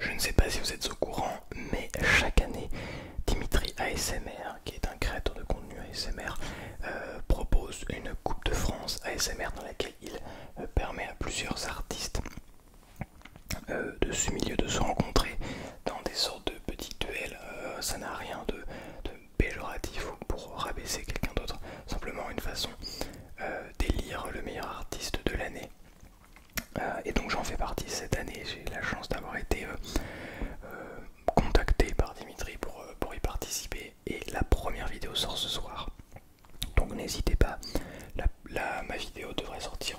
Je ne sais pas si vous êtes au courant, mais chaque année, Dimitri ASMR, qui est un créateur de contenu ASMR, euh, propose une Coupe de France ASMR dans laquelle il euh, permet à plusieurs artistes euh, de ce milieu de se rencontrer dans des sortes de petits duels. ça n'a rien de, de péjoratif ou pour rabaisser quelqu'un d'autre, simplement une façon d'élire le meilleur artiste de l'année. Euh, et donc j'en fais partie cette année, j'ai la chance d'avoir été euh, euh, contacté par Dimitri pour, y participer et la première vidéo sort ce soir. Donc n'hésitez pas, la, ma vidéo devrait sortir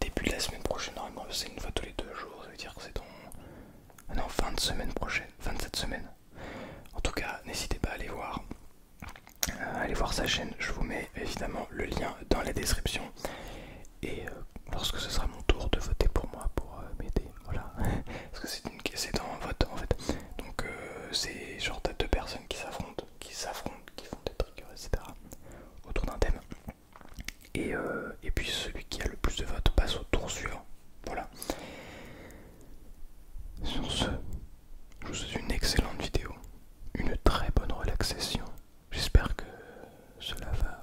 début de la semaine prochaine, normalement c'est une fois tous les deux jours, ça veut dire que c'est en ah fin de semaine prochaine, fin de cette semaine. En tout cas, n'hésitez pas à aller voir. Euh, allez voir sa chaîne, je vous mets évidemment le lien dans la description. Et lorsque euh, ce sera mon tour de voter pour moi, pour euh, m'aider, voilà. Parce que c'est une... un vote en fait. Donc c'est genre t'as deux personnes qui s'affrontent, qui s'affrontent, qui font des trucs, etc. Autour d'un thème. Et, et puis celui qui a le plus de votes passe au tour suivant. Voilà. Sur ce, je vous souhaite une excellente vidéo, une très bonne relaxation. J'espère que cela va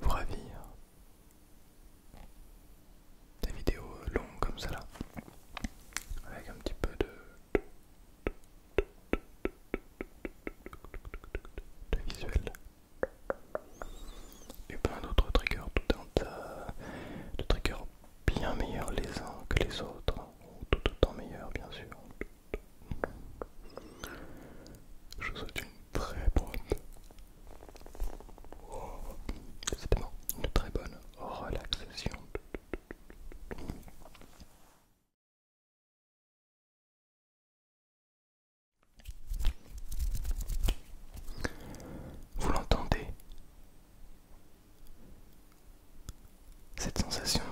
vous ravir. Des vidéos longues comme ça avec un petit peu de, de visuel et plein d'autres triggers, tout un tas de triggers bien meilleurs les uns que les autres, ou tout autant meilleurs bien sûr. Je vous souhaite une très bonne, une très bonne relaxation. Vous l'entendez cette sensation.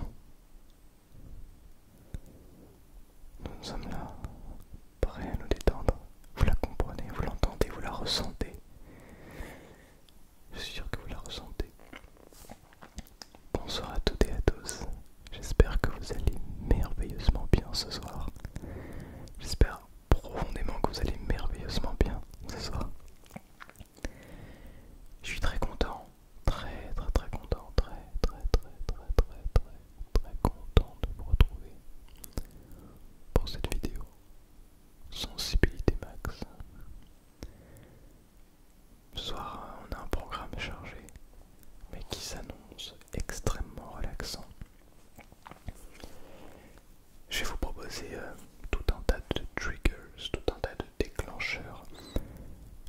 Nous, sommes là, prêts à nous détendre. Vous la comprenez, vous l'entendez, vous la ressentez. Je suis sûr que vous la ressentez. Bonsoir à toutes et à tous. J'espère que vous allez merveilleusement bien ce soir. J'espère profondément que vous allez merveilleusement bien ce soir. Je suis très content, très très très content, très très très très très très très content de vous retrouver pour cette vidéo sensibilité max. soir, on a un programme chargé, mais qui s'annonce extrêmement relaxant. Je vais vous proposer euh, tout un tas de triggers, tout un tas de déclencheurs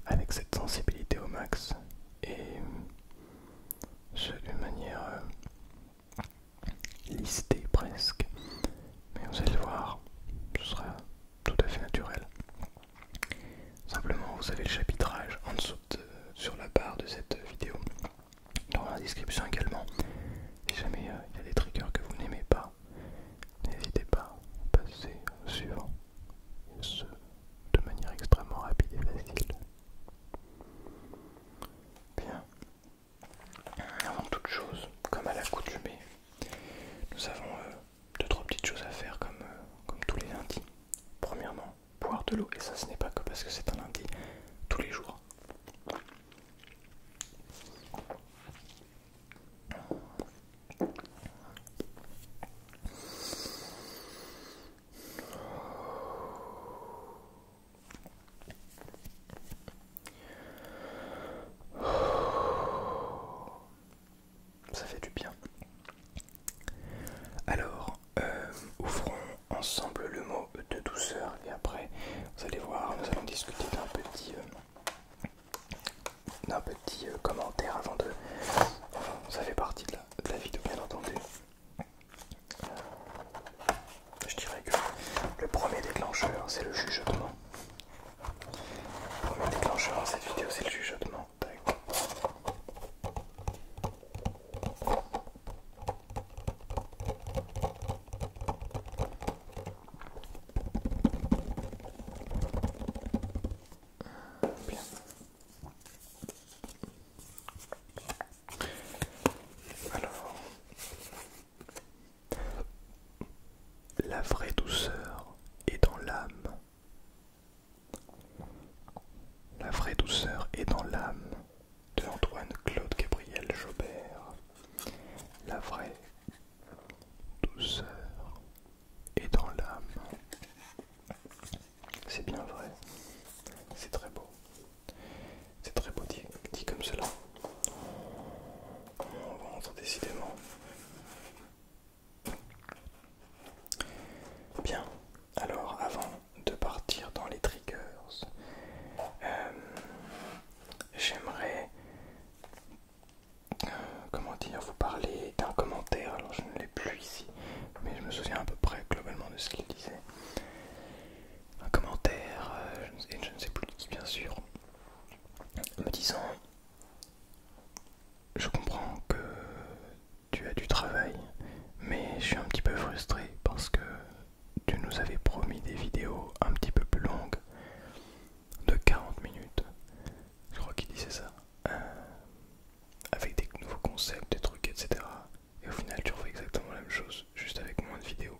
avec cette sensibilité au max et euh, ce d'une manière euh, listée presque. Mais vous allez le voir, ce sera tout à fait naturel. Simplement, vous avez le chapitrage en dessous sur la barre de cette vidéo, dans la description également. Si jamais euh, il y a des triggers que vous n'aimez pas, n'hésitez pas, à passer au suivant, et ce, de manière extrêmement rapide et facile. Bien. Avant toute chose, comme à l'accoutumée, nous avons de euh, deux trois petites choses à faire comme, euh, comme tous les lundis. Premièrement, boire de l'eau, et ça ce n'est pas que parce que c'est un lundi, tous les jours. Ça fait du bien. Alors, euh, ouvrons ensemble le mot de douceur et après, vous allez voir, nous allons discuter d'un petit, euh, un petit euh, commentaire avant de... ça fait partie de la, vidéo, bien entendu. je dirais que le premier déclencheur, c'est le chuchotement. Le premier déclencheur dans cette vidéo, c'est le chuchotement. Alors, la vraie douceur est dans l'âme. La vraie douceur est dans l'âme de Antoine Claude Gabriel Jobert. La vraie douceur et dans l'âme. C'est bien vrai, c'est très beau. C'est très beau dit, comme cela. On rentre décidément. Bien, alors avant de partir dans les triggers, euh, j'aimerais comment dire, vous parlez d'un commentaire, alors je ne l'ai plus ici, mais je me souviens à peu près globalement de ce qu'il disait. Un commentaire, euh, je, ne sais plus de qui bien sûr, me disant je comprends que tu as du travail, mais je suis un petit peu frustré parce que tu nous avais promis des vidéos un petit peu plus longues de 40 minutes, je crois qu'il disait ça, euh, avec des nouveaux concepts, des trucs, etc. Et au final, tu refais exactement la même chose, juste avec moins de vidéos.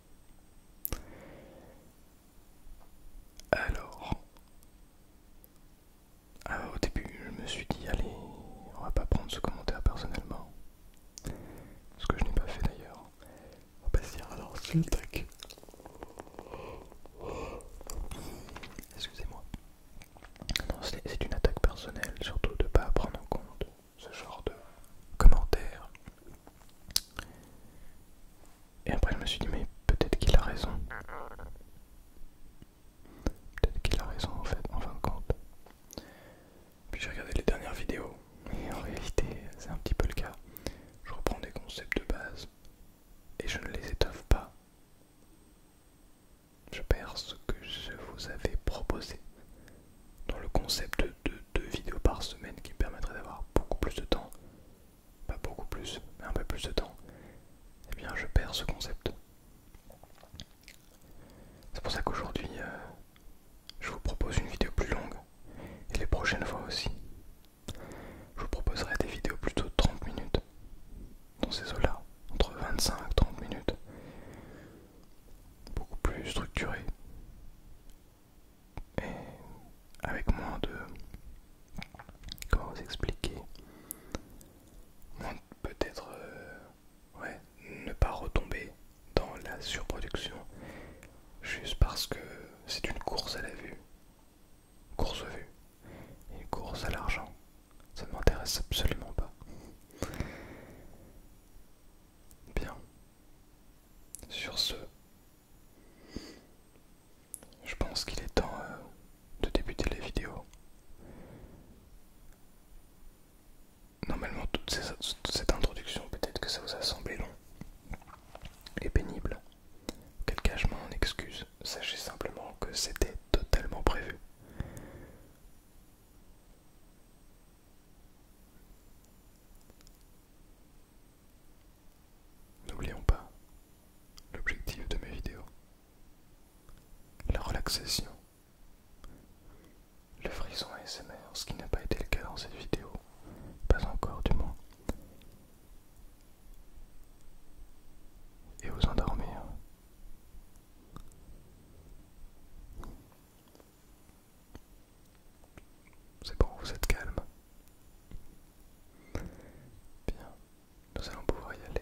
alors, au début, je me suis dit, allez, on va pas prendre ce commentaire personnellement, ce que je n'ai pas fait d'ailleurs passer alors ah c'est Excusez-moi. C'est une attaque personnelle, surtout de ne pas prendre en compte ce genre de commentaires. Et après je me suis dit mais peut-être qu'il a raison. Peut-être qu'il a raison en fait, en fin de compte. Puis j'ai regardé les dernières vidéos, et en réalité c'est un petit peu le cas. Je reprends des concepts de base, et je ne les étoffe pas. Je perds ce que je vous avais proposé dans le concept de deux vidéos par semaine qui me permettrait d'avoir beaucoup plus de temps, pas beaucoup plus, mais un peu plus de temps. Eh bien, je perds ce concept. C'est pour ça qu'aujourd'hui, euh, je vous propose une vidéo plus longue et les prochaines fois aussi. Je vous proposerai des vidéos plutôt de 30 minutes, dans ces eaux-là, entre 25 et 30 minutes, beaucoup plus structurées et avec moins de. Comment vous expliquer Peut-être euh, ouais, ne pas retomber dans la surproduction juste parce que c'est une course à la vue course vue, et course à l'argent, ça ne m'intéresse absolument pas. Bien. Sur ce, je pense qu'il est temps euh, de débuter la vidéo. Normalement, toute cette introduction, peut-être que ça vous a semblé long et pénible. Quel cas je m'en excuse, sachez simplement que c'était totalement prévu. N'oublions pas l'objectif de mes vidéos, la relaxation, le frisson ASMR, ce qui n'a pas été le cas dans cette vidéo, pas encore du moins, et vous endormir. Hein. C'est bon, vous êtes calme. Bien, nous allons pouvoir y aller.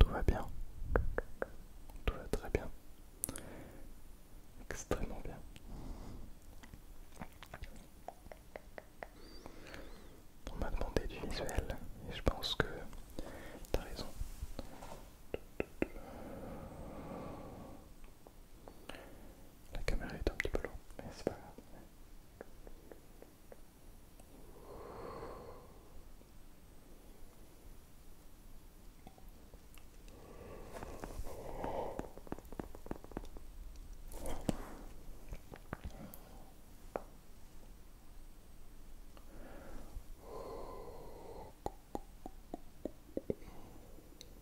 Tout va bien. Tout va très bien. Extrêmement bien. On m'a demandé du visuel et je pense que tu as raison. La caméra est un petit peu long, mais c'est pas grave.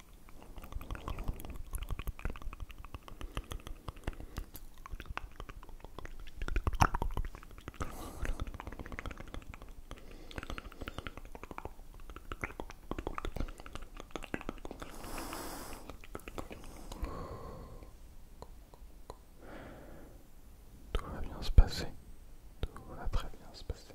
Tout va bien se passer. Tout va très bien se passer.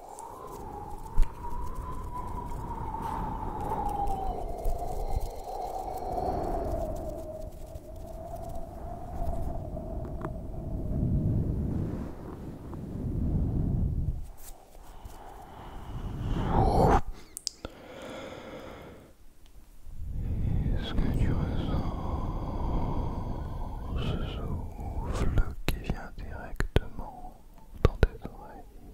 Est-ce que tu ressens ce souffle qui vient directement dans tes oreilles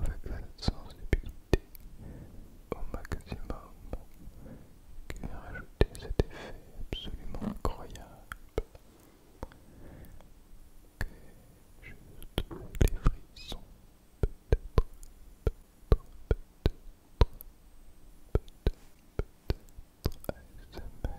avec la sensibilité au maximum qui va rajouter cet effet absolument incroyable que juste les frissons peut-être peut-être peut-être peut-être ASMR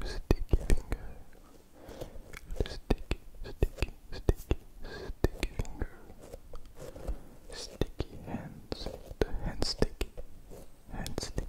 Le sticky finger, le sticky, sticky, sticky, sticky finger, sticky hands, the hand sticky, hand sticky.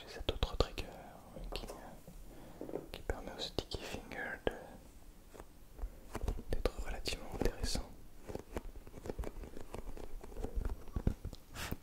J'ai cet autre trigger euh, qui, euh, qui permet au sticky finger d'être relativement intéressant.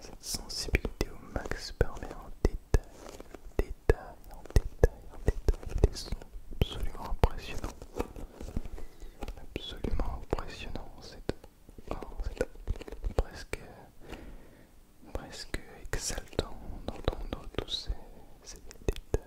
Cette sensibilité au max permet en détail, en détail, en détail, des sons absolument impressionnants. Absolument impressionnants, c'est presque, presque exaltant d'entendre tous ces détails.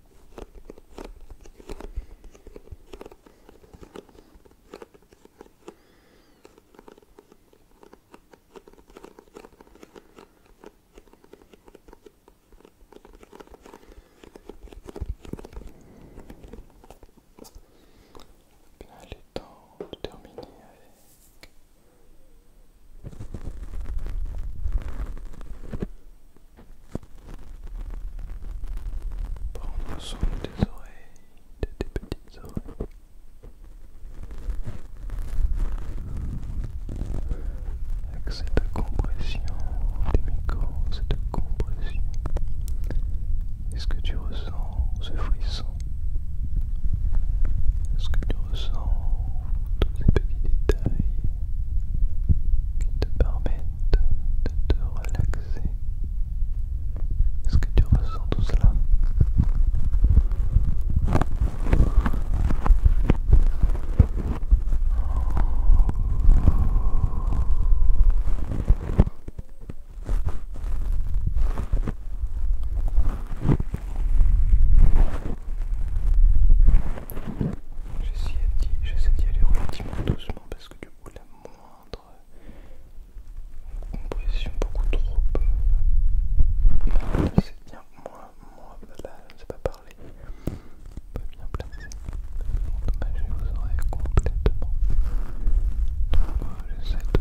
Bien, il est temps de terminer avec Prendre soin de tes oreilles, de tes petites oreilles. Avec cette compression des micro cette compression. Est-ce que tu ressens ce frisson Est-ce que tu ressens tous ces petits détails qui te permettent de te relaxer. Est-ce que tu ressens tout cela J'essaie d'y aller relativement doucement parce que du coup la moindre compression beaucoup trop peu. c'est bien Moi, moi là je ne sais pas parler pas bien placé Je vous oreilles complètement donc j'essaie de, tout